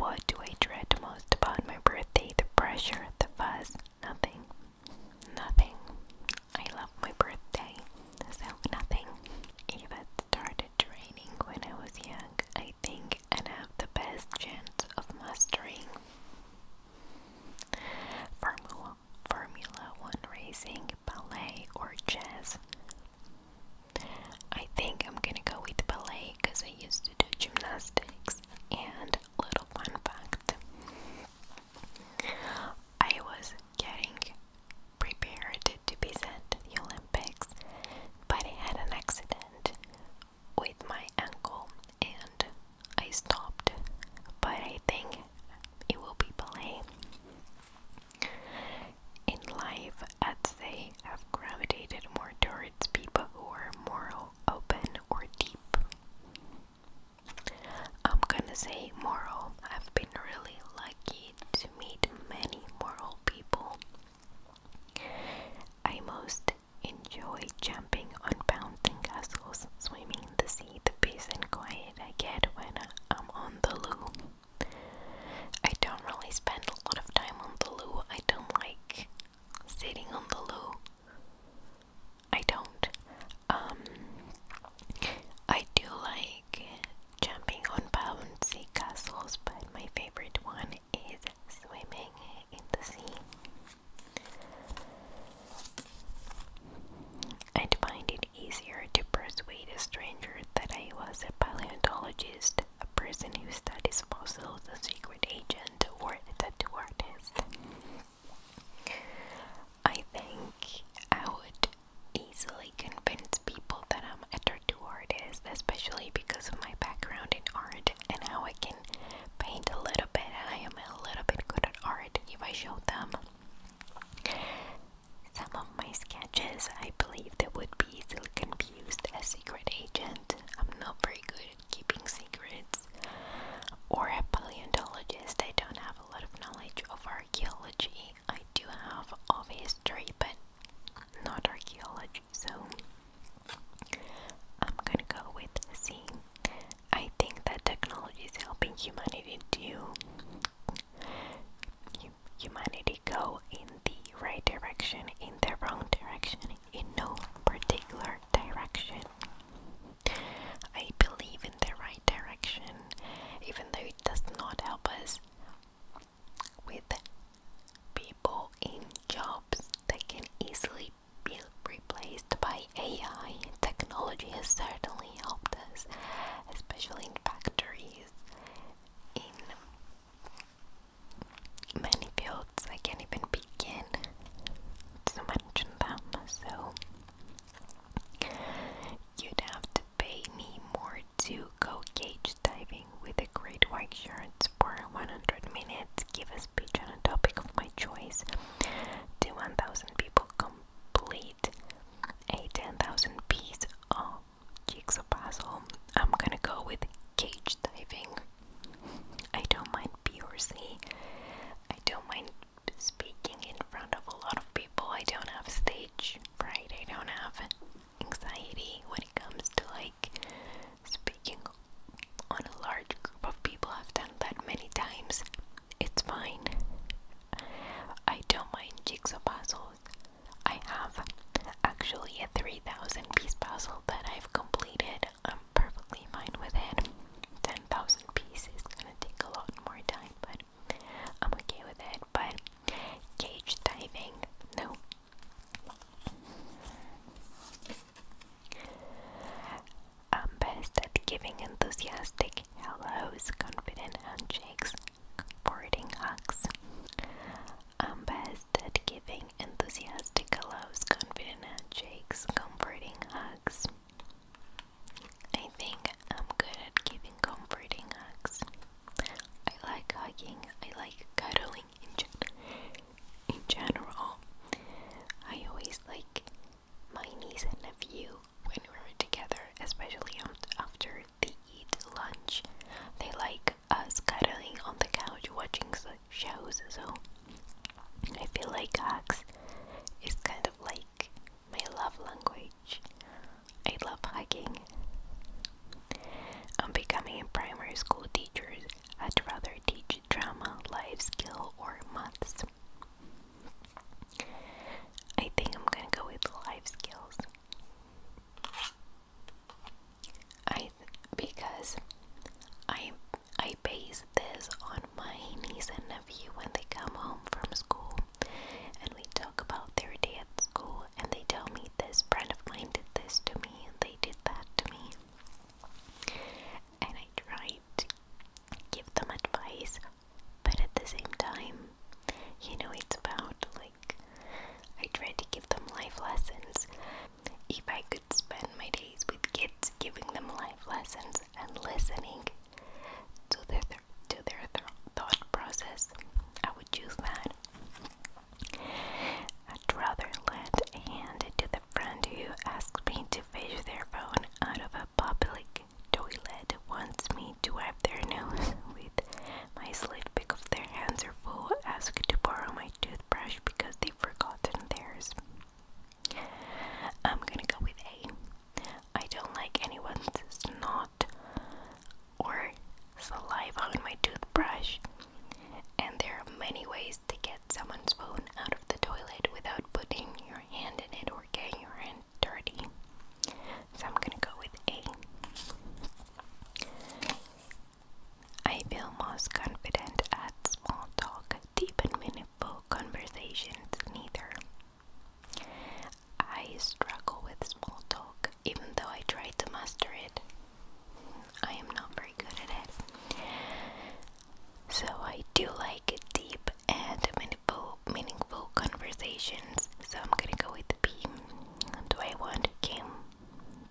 What do I dread most about my birthday? The pressure, the fuss, nothing. Nothing. I love my birthday, so nothing. If it started training when I was young, I think i have the best chance of mastering Formula, Formula One racing, ballet, or jazz. I think I'm gonna go with ballet because I used to do gymnastics. And little fun fact I was getting prepared to be sent to the Olympics, but I had an accident with my ankle and I stopped. But I think it will be ballet. In life, I'd have gravitated more towards people who are more open or deep. I'm gonna say moral. I've been really lucky to meet many moral people. I most enjoy jumping on bouncing castles, swimming in the sea, the peace and quiet I get when I'm on the loo. I don't really spend a lot of time on the loo. I don't like sitting on the loo. I don't. Um, I do like jumping on sea castles, but my favorite one is swimming in the sea. I'd find it easier to persuade a stranger that I was a paleontologist, a person who studies fossils, a secret agent, or a tattoo artist. I think I would easily convince people that I'm a tattoo artist, especially because of my background in art and how I can paint a little bit and I am a little bit good at art if I show them some of my sketches. I believe they would be still confused as secret agent. I'm not very good at keeping secrets or a paleontologist. I don't have a lot of knowledge of archaeology. I do have of history, but not archaeology, so I'm gonna go with C. I think that technology is helping humanity do humanity go in the right direction, in the wrong direction, in no particular direction. I believe in the right direction, even though it does not help us with people in jobs that can easily be replaced by AI. Technology has certainly helped us, especially in factories, in many fields. I can't even begin to mention them. So you'd have to pay me more to go cage diving with a great white shark for 100 minutes, give a speech on a topic of my choice to 1,000 people, complete a 10,000 piece of jigsaw puzzle. I'm gonna go with cage diving. I don't mind PRC. I don't mind speaking in front of a lot of people. I don't have stage right? I don't have anxiety when it comes to like speaking on a large group of people. I've done that many times. It's fine. I don't mind jigsaw puzzles. I have actually a 3,000 piece puzzle that I've completed. I'm perfectly fine with it. 10,000 pieces is gonna take a lot more time, but I'm okay with it, but cage diving, no. I'm best at giving enthusiastic hellos, confident handshakes, comforting hugs. I'm best at giving enthusiastic hellos, confident handshakes, comforting hugs. I think I'm good at giving comforting hugs. I like hugging, I like cuddling in, gen I always like my niece and nephew when we're together, especially after they eat lunch. They like us cuddling on the couch watching shows, so I feel like hugs is kind of like my love language. I love hugging. I'm becoming a primary school teacher. I'd rather teach drama, life skill, or maths. I think I'm gonna go with life skills. I because I I base this on my niece and nephew when they come home from school and we talk about their day school and they tell me this friend of mine did this to me and they did that to me. And I try to give them advice, but at the same time, you know, it's about like I try to give them life lessons. If I could spend my days with kids giving them life lessons and listening to their, to their thought process, I would choose that. I'd rather lend a hand to the friend who asked me to fish their phone out of a public toilet wants me to wipe their nose with my sleeve Pick because their hands are full, ask to borrow my toothbrush because they've forgotten theirs. I'm gonna go with A. I don't like anyone's snot or saliva on my toothbrush. And there are many ways to get someone's phone out of the toilet without putting your hand in it or getting your hand dirty. So I'm gonna go with A. I feel most confident at small talk, deep and meaningful conversations, neither. I struggle with small talk, even though I try to master it. I am not very good at it. So I do like deep and meaningful, meaningful conversations. So I'm gonna go with B. Do I want a game?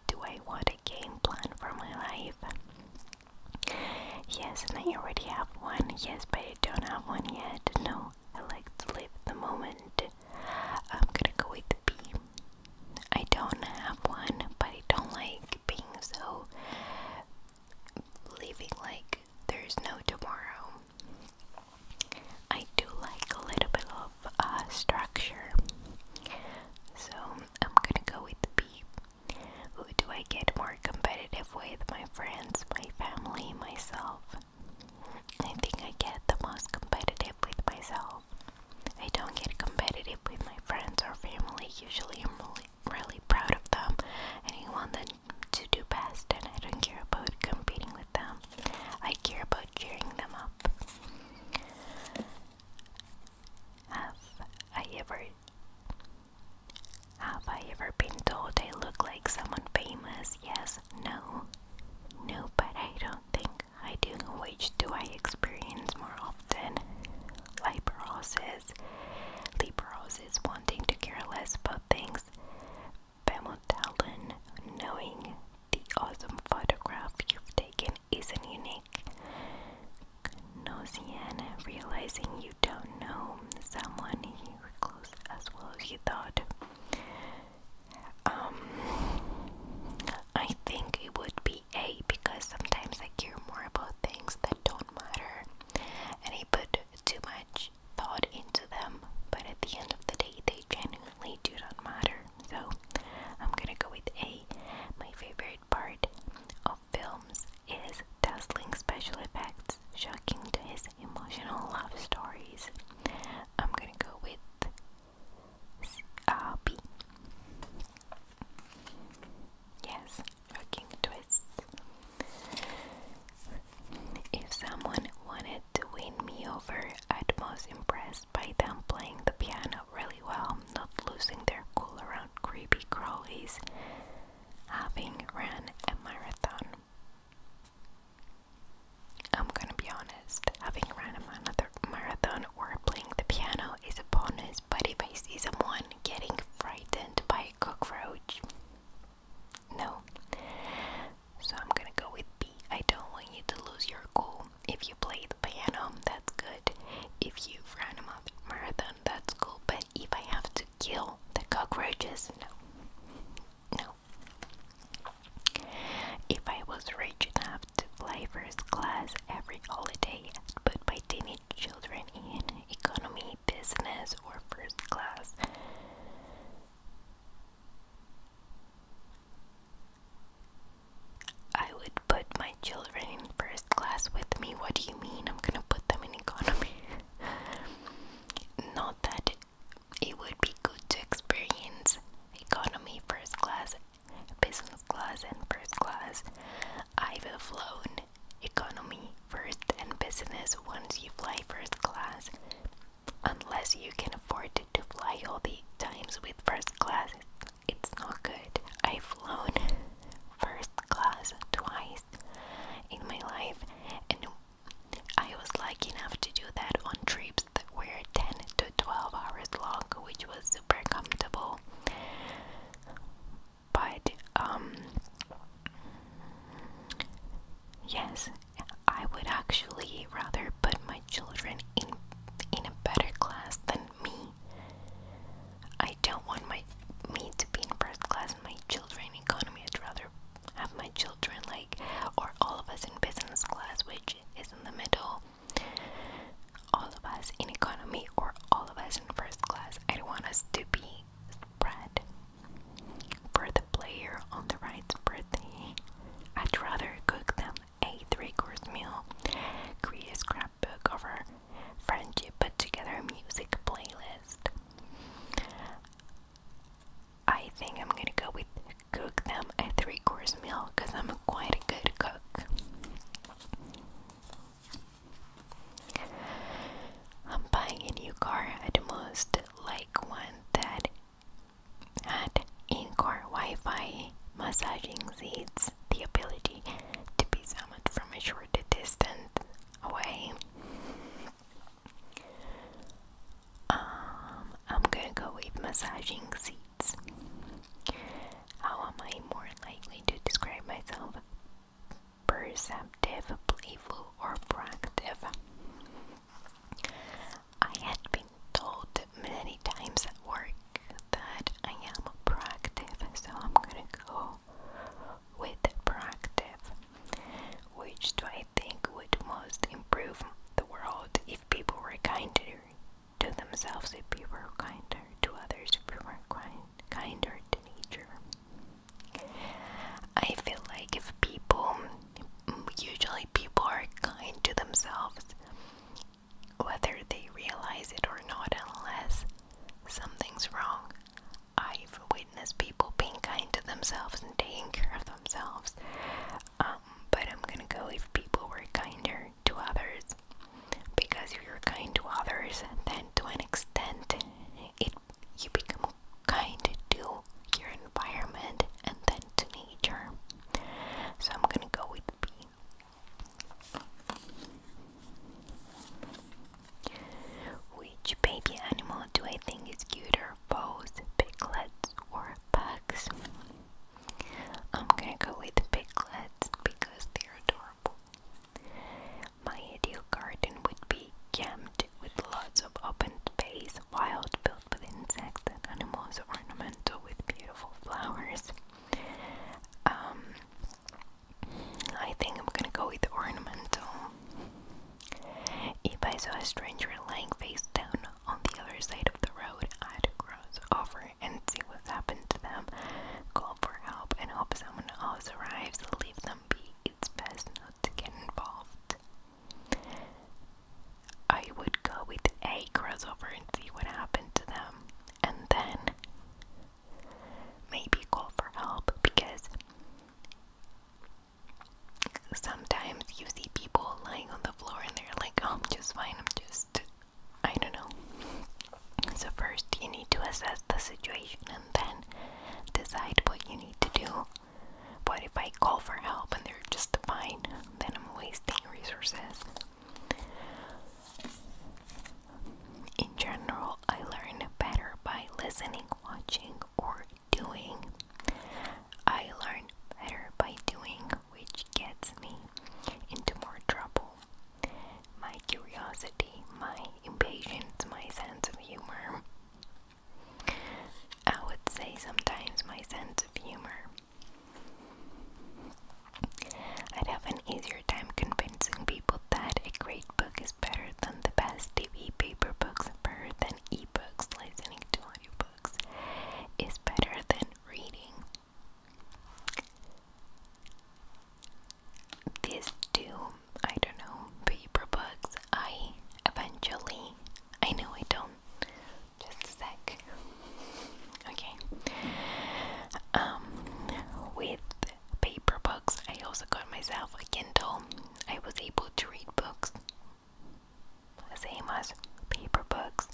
Do I want a game plan for my life? Yes, and I already have one. Yes, but I don't have one yet. No, I like to live the moment. I'm gonna go with B. I don't have one, but I don't like being so living like there's no tomorrow. I do like a little bit of uh, structure, so I'm gonna go with B. Who do I get more competitive with? My friends, my family, myself. I think I get the most competitive with myself. I don't get competitive with my friends or family. Usually, I'm really, really proud of them and I want them to do best, and I don't care about competing with them. I care about cheering them up. Have I ever have I ever been told I look like someone famous? Yes, no. No, but I don't think I do. Which do I experience more often? Liberoses. Liberoses wanting to care less about things. Bemotalen, knowing the awesome photograph you've taken isn't unique. Gnosian, realizing you don't know someone you were close as well as you thought. Um, I think it would be A because sometimes I care more about things that don't matter and I put too much thought into them, but at the end of the day, they genuinely do not matter. So I'm gonna go with A. My favorite part of films is dazzling special effects, shocking to his emotional love stories. I'm gonna go with uh, Yes, rocking twists. If someone wanted to win me over, I'd most impressed by them playing the piano really well, not losing their cool around creepy crawlies, having ran a marathon. I'm gonna be honest, having run a another marathon or playing the piano is a bonus, but if I see someone getting frightened by a cockroach, no. So I'm gonna go with B. I don't want you to lose your cool. If you play the piano, that's good. If you've run a marathon, that's cool. But if I have to kill the cockroaches, no. No. If I was rich enough to fly first class every holiday and put my teenage children in economy, business, or first class, I would put my children in first class with me. What do you mean? I'm gonna put them in economy. Not that it would be good to experience economy, first class, business class, and first class. I've flown economy first and business once you fly first class, unless you can afford to fly all the times with first class. It's not good. I've flown first class twice in my life, and I was lucky enough to do that on trips that were 10 to 12 hours long, which was super comfortable. But, um, yes, I would actually rather put my children in, in a better class than me. I don't want my me to be in first class, my children economy. I'd rather have my children like or all of us in business class which is in the middle all of us in economy or all of us in first class i don't want us to be spread for the player on the right's birthday i'd rather cook them a three-course meal create a scrapbook of cover friendship put together a music playlist I think I'm gonna go with cook them a three course meal because I'm quite a good cook. I'm buying a new car. I'd most like one that had in-car Wi-Fi, massaging seats, the ability to be summoned from a shorter distance away. Um, I'm gonna go with massaging seats. How am I more likely to describe myself? Perceptive, playful, or proactive? I had been told many times at work that I am proactive, so I'm gonna go with proactive. Which do I I think would most improve the world if people were kinder to themselves, if people were kinder to others, if people were kind, kinder to nature. I feel like if people, usually people are kind to themselves, whether they realize it or not, unless something's wrong. I've witnessed people being kind to themselves and taking care of themselves, um, but I'm gonna go if people were kinder to others. Because if you're kind to others, then to an extent, it you become kind to your environment and then to nature. So I'm gonna go with B. Which baby animal do I think is cuter, both piglets or a pugs? I'm gonna go with piglets because they're adorable. My ideal garden would be jammed with lots of open space, wild, filled with insects and animals, ornamental with beautiful flowers. Um, I think I'm gonna go with ornamental. If I saw a stranger lying face down on the other side of the road, I had cross over and see what's happened to them, call for help, and hope someone else arrives. Leave them be. It's best not to get involved. I would go with A, cross over and see what happened to them, and then maybe call for help because sometimes you see people lying on the floor and they're like, oh, I'm just fine, I'm just, I don't know. So, first you need to assess the situation and then decide what you need to do. What if I call for help and they're just fine? Then I'm wasting resources. In general, I learn better by listening, watching, or doing I learn better by doing, which gets me into more trouble. My curiosity, my impatience, my sense of humor. I would say sometimes my sense of humor. I'd have an easier time convincing people that a great book is better than the best TV paper books, better than Books, listening to audiobooks is better than reading. These two, I don't know, paper books, I eventually, I know I don't. Just a sec. Okay. Um, with paper books, I also got myself a Kindle. I was able to read books same as paper books.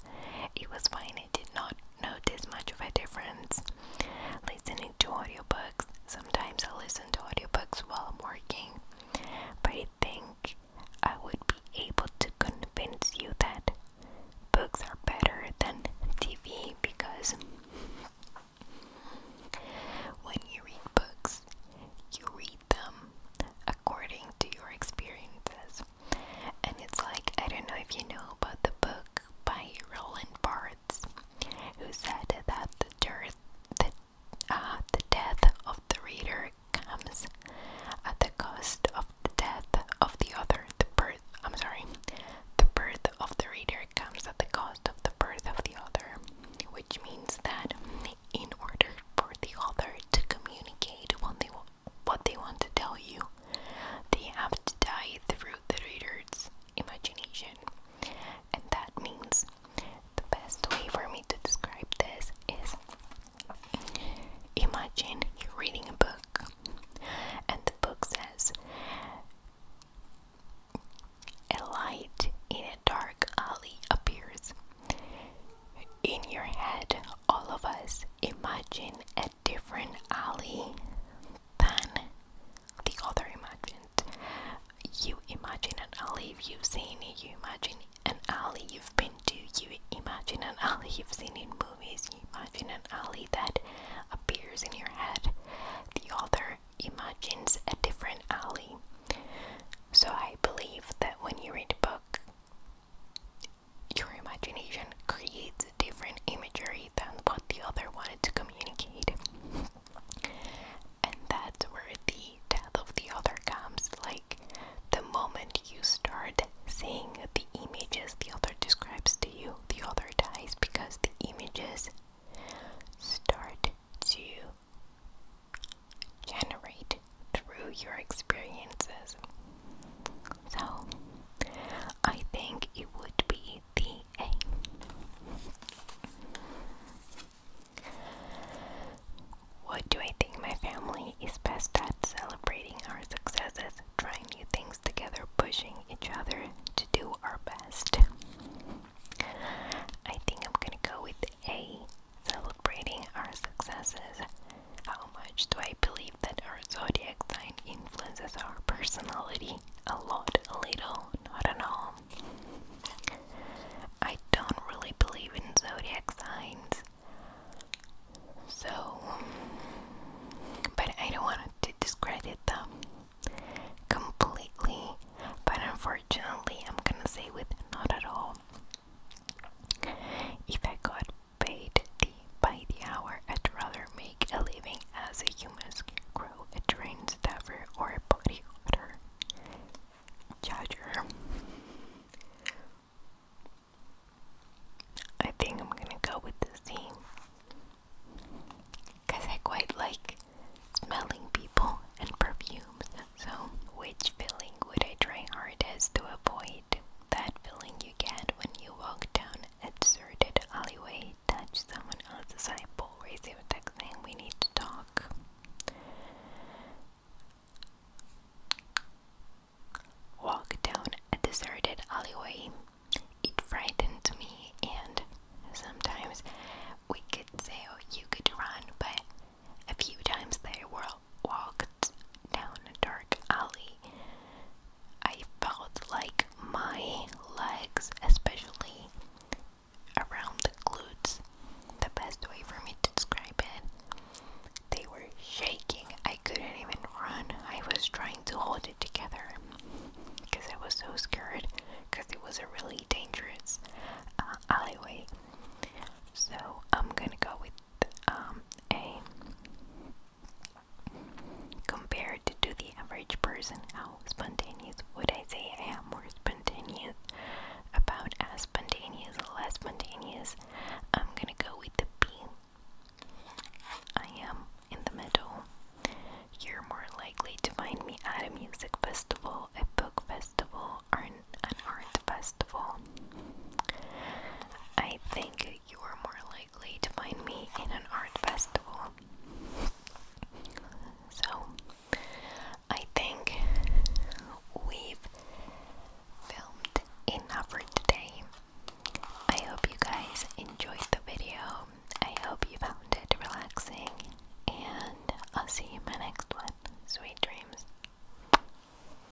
It was fine, I did not notice much of a difference. Listening to audiobooks, sometimes I listen to audiobooks while I'm working, but I think I would be able to convince you that books are better than TV because when you read books, you read them a according to your experiences. And it's like, I don't know if you know about the book by Roland Barthes, who said that the, dearth, the, uh, the death of the reader comes at the cost of the death of the other. The birth, I'm sorry, the birth of the reader comes at the cost of the birth of the other, which means that in order for the author to communicate what they, what they want to tell you, they have to die through the reader's imagination. And that means the best way for me to describe this is imagine you're reading a book, and the book says, a light in a dark alley appears. In your head, all of us imagine a different Ali than the other imagined. You imagine an alley you've seen you imagine an alley you've been to, you imagine an alley you've seen in movies, you imagine an alley that appears in your head. The author imagines a different alley. So I believe that when you read a book, your imagination creates a different imagery than what the other wanted to communicate. and that's where the death of the other comes. Like the moment you start seeing the images the other describes to you, the other dies because the images start to generate through your experiences. So, I think it would be the A. What do I think my family is best at? Celebrating our successes, trying new things together, pushing each other to do our best. I think I'm gonna go with A Celebrating our successes. How much do I believe that our zodiac sign influences our personality? A lot, a little, I do not know. I don't really believe in zodiac signs. So, but I don't want to discredit them completely. But unfortunately, I'm gonna say with not at all. If I could paid the, by the hour, I'd rather make a living as a human scarecrow, a train staffer, or a body odor Judger. I think I'm gonna go with the theme. Cause I quite like smelling people and perfumes, so which feeling would I try hardest to avoid? light. That feeling you get when you walk down a deserted alleyway, touch someone else's eyeball, raise your text name, we need to talk. Walk down a deserted alleyway. It frightened me, and sometimes we could say, oh, you could run, but a few times there were walked down a dark alley. I felt like my legs, especially around the glutes, the best way for me to describe it, they were shaking. I couldn't even run. I was trying to hold it together because I was so scared because it was a really dangerous uh, alleyway. So I'm gonna go with um, a compared to the average person how spontaneous would i say i am more spontaneous about as spontaneous less spontaneous i'm gonna go with the b i am in the middle you're more likely to find me at a music festival a book festival or an art festival I think you are more likely to find me in an art festival. So, I think we've filmed enough for today. I hope you guys enjoyed the video. I hope you found it relaxing, and I'll see you in my next one. Sweet dreams.